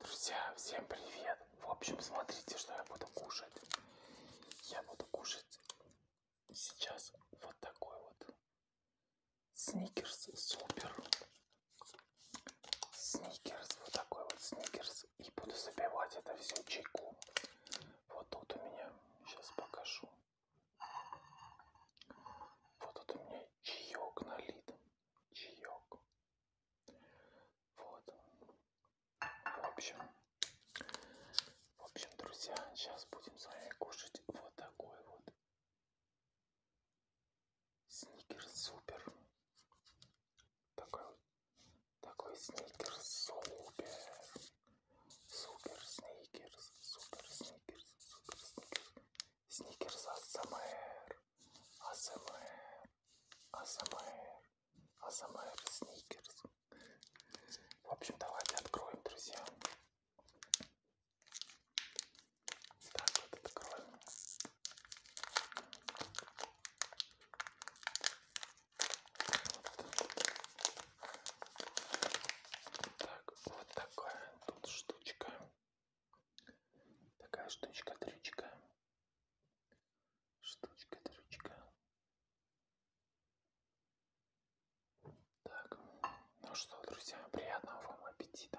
Друзья, всем привет! В общем, смотрите, что я буду кушать. Я буду кушать сейчас вот такой вот сникерс супер. Сникерс, вот такой вот сникерс. И буду забивать это все чайку. Вот тут у меня, сейчас покажу. Вот тут у меня чаек налит. Чаек. Вот. В общем, в общем, друзья, сейчас будем с вами кушать вот такой вот сникер супер. Такой, такой сникер супер. Супер сникерс, супер сникерс, супер сникерс. Сникерс от СМР. АСМР, АСМР, АСМР, сникерс. В общем, давайте откроем, друзья. Так вот откроем. Так, вот такая тут штучка. Такая штучка-трючка. Штучка-трючка. Так, ну что, друзья, приятного вам аппетита.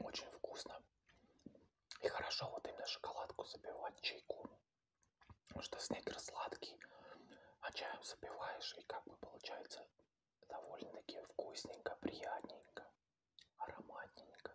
Очень вкусно. И хорошо вот именно шоколадку забивать чайком. Потому что снекер сладкий, а чаем запиваешь, и как бы получается довольно-таки вкусненько, приятненько, ароматненько.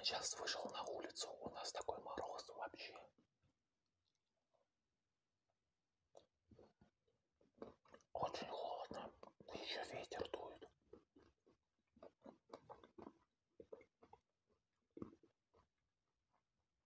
Сейчас вышел на улицу, у нас такой мороз вообще. Очень холодно, еще ветер дует.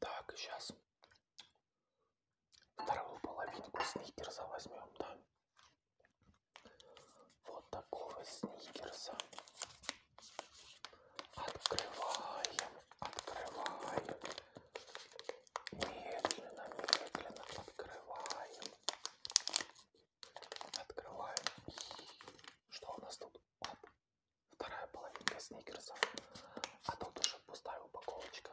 Так, сейчас вторую половинку сникерса возьмем, да? Вот такого сникерса. Открываем, открываем. Медленно, медленно открываем. Открываем. Что у нас тут? Оп. Вторая половинка сникерсов. А тут уже пустая упаковочка.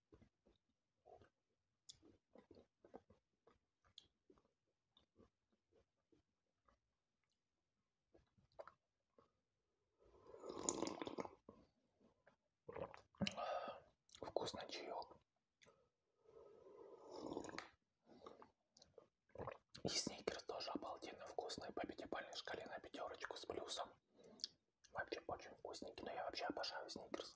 Вкусно чаек. И сникерс тоже обалденно вкусный по пятибалльной шкале на пятерочку с плюсом. Вообще очень вкусненький, но я вообще обожаю сникерс.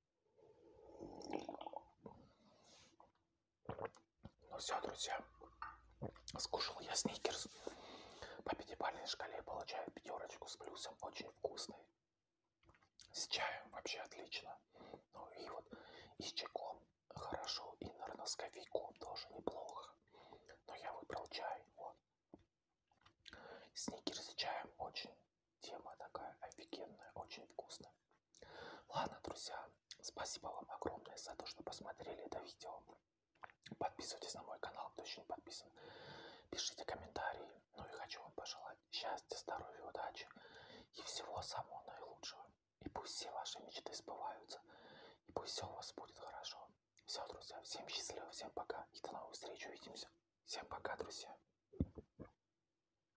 Ну все, друзья, скушал я сникерс. По пятибалльной шкале получаю пятерочку с плюсом. Очень вкусный. С чаем вообще отлично. Ну и вот и с чайком хорошо, и, наверное, с кофейком тоже неплохо. Но я выбрал чай. Вот. Сникерс с чаем очень тема такая офигенная, очень вкусная. Ладно, друзья, спасибо вам огромное за то, что посмотрели это видео. Подписывайтесь на мой канал, кто еще не подписан. Пишите комментарии. Ну и хочу вам пожелать счастья, здоровья, удачи и всего самого наилучшего. И пусть все ваши мечты сбываются. И пусть все у вас будет хорошо. Все, друзья, всем счастливо, всем пока. И до новых встреч, увидимся. Всем пока, друзья.